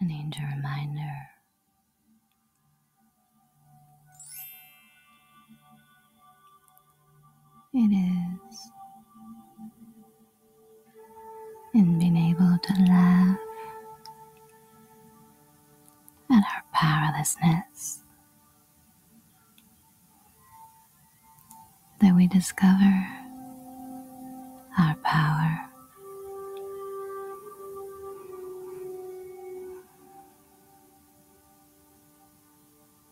An angel reminder it is, in being able to laugh at our powerlessness that we discover our power.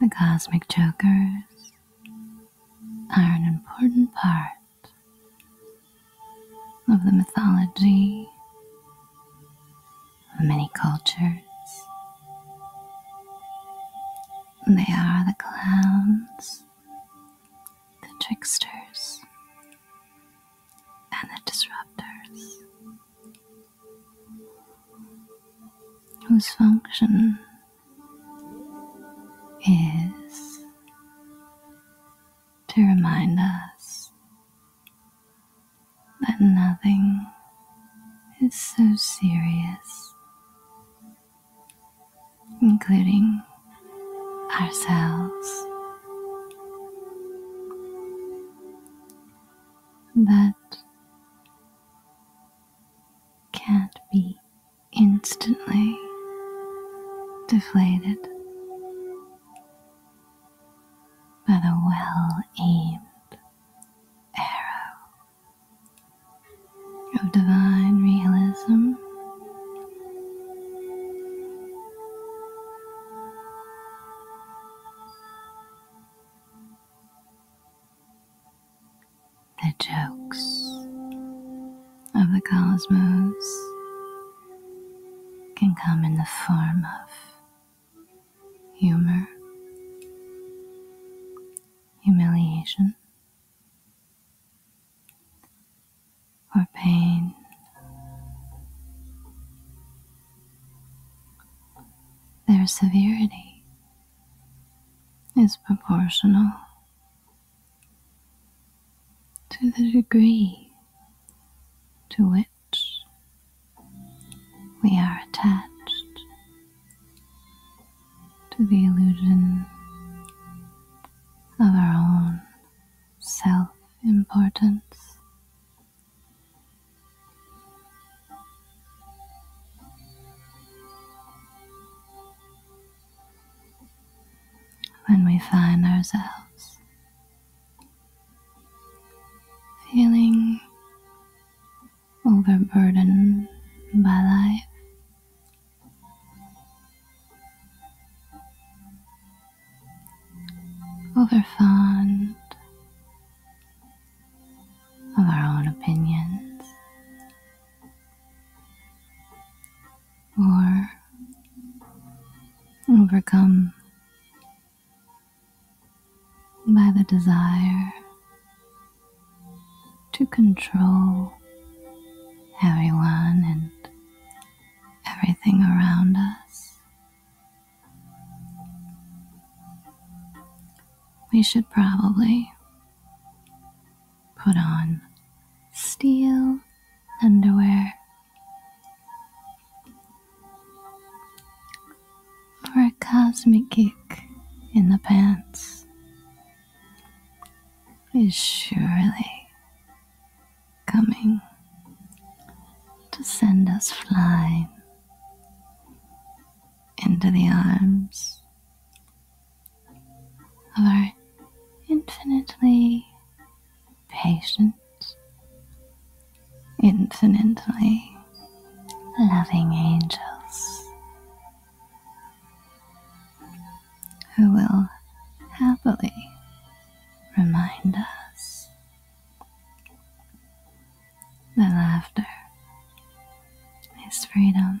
The cosmic jokers are an important part of the mythology many cultures. They are the clowns, the tricksters, and the disruptors, whose function is to remind us that nothing is so serious, including ourselves. That can't be instantly deflated by the well aimed arrow of divine realism. The jokes of the cosmos can come in the form of humor, humiliation, or pain. Their severity is proportional to the degree to which we are attached to the illusion of our own self importance. When we find ourselves feeling overburdened by life. Overfond of our own opinions or overcome by the desire to control everyone and everything around us. We should probably put on steel underwear or a cosmic kick in the pants is surely coming to send us flying into the arms of our infinitely patient infinitely loving angels who will happily remind us that laughter is freedom.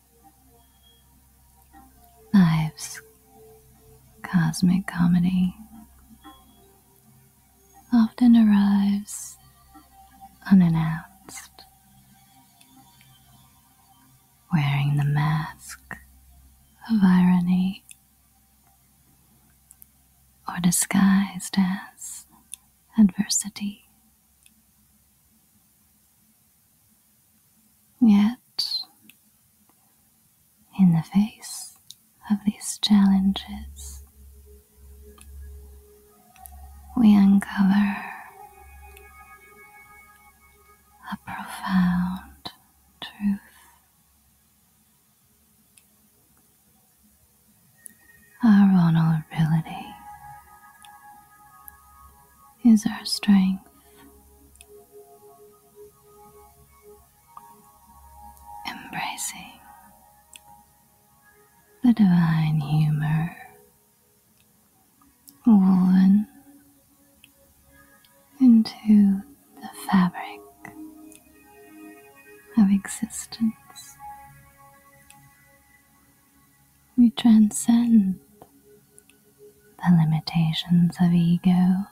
Life's cosmic comedy often arrives unannounced, wearing the mask of irony or disguised as adversity. Yet, in the face of these challenges, we uncover a profound truth. Our vulnerability is our strength. Embracing the divine humor woven into the fabric of existence we transcend the limitations of ego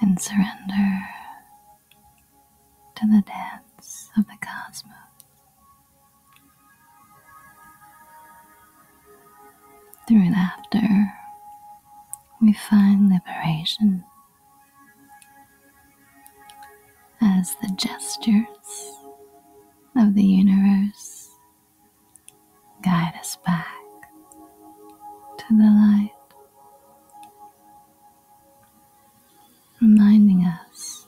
and surrender to the dance of the cosmos. Through laughter, we find liberation as the gestures of the universe guide us back to the light, reminding us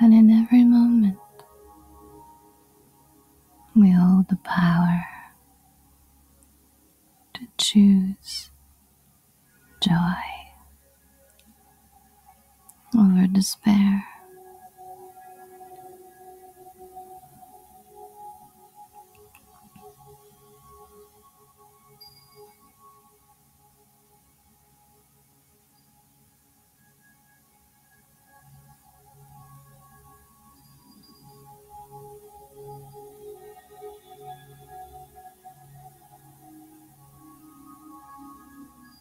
that in every moment we hold the power to choose joy over despair.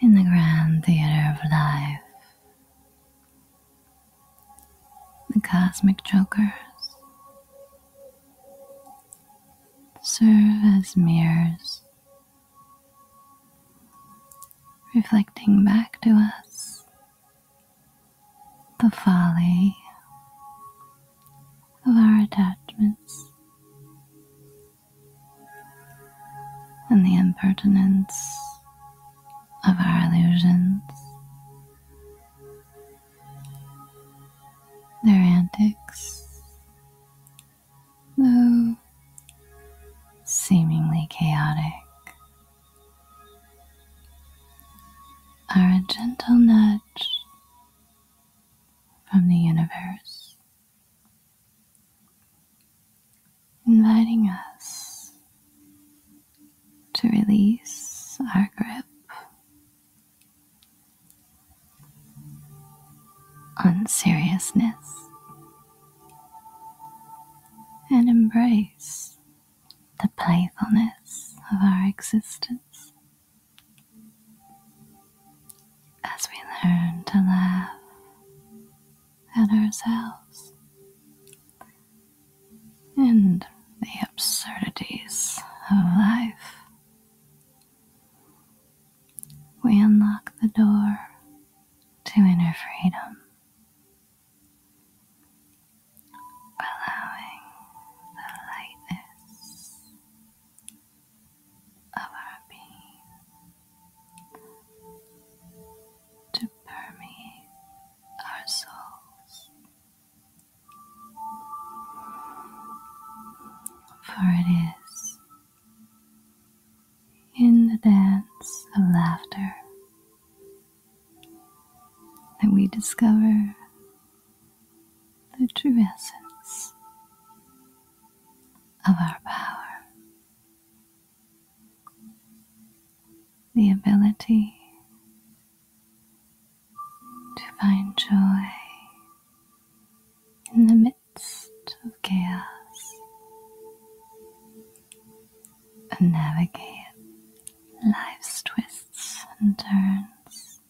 in the grand theater of life. The cosmic jokers serve as mirrors, reflecting back to us the folly of our attachments and the impertinence of our illusions their antics, though seemingly chaotic, are a gentle nudge from the universe, inviting us to release our grip unseriousness and embrace the playfulness of our existence as we learn to laugh at ourselves and the absurdities of life we unlock the door to inner freedom, allowing the lightness of our being to permeate our souls. For it is in the dance of laughter that we discover the true essence of our power. The ability to find joy in the midst of chaos and navigate life's twists and turns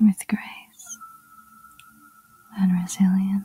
with grace and resilience.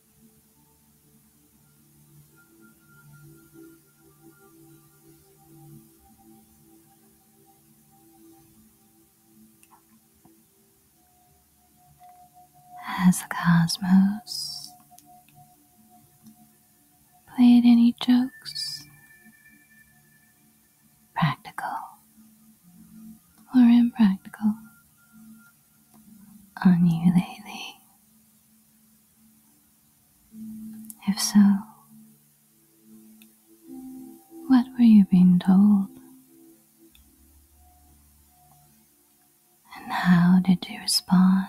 Has the cosmos played any jokes, practical or impractical, on you lately? If so, what were you being told? And how did you respond?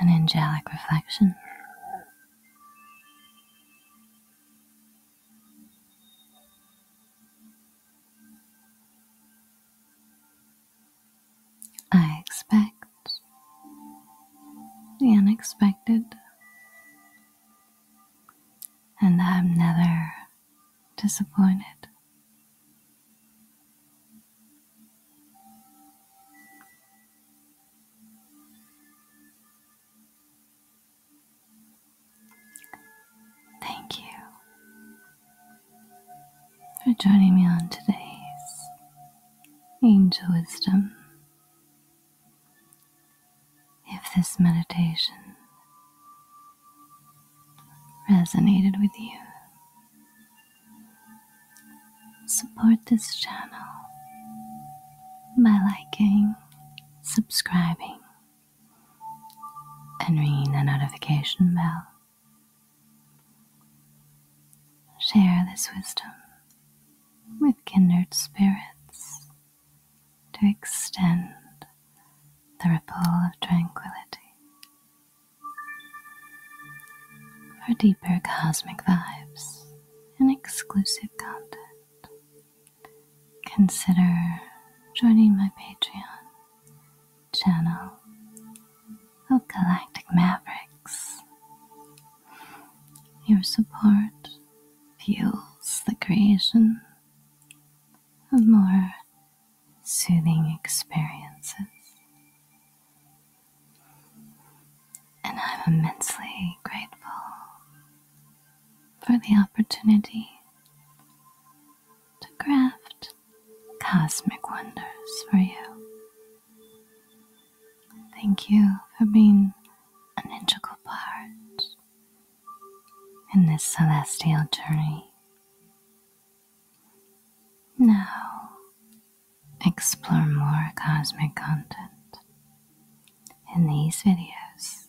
an angelic reflection. I expect the unexpected, and I'm never disappointed. Thank you for joining me on today's Angel Wisdom. If this meditation resonated with you, Support this channel by liking, subscribing, and ringing the notification bell. Share this wisdom with kindred spirits to extend the ripple of tranquility for deeper cosmic vibes and exclusive content, consider joining my Patreon channel of Galactic Mavericks. Your support fuels the creation of more soothing experiences. And I'm immensely grateful for the opportunity to craft cosmic wonders for you. Thank you for being an integral part in this celestial journey now, explore more cosmic content in these videos.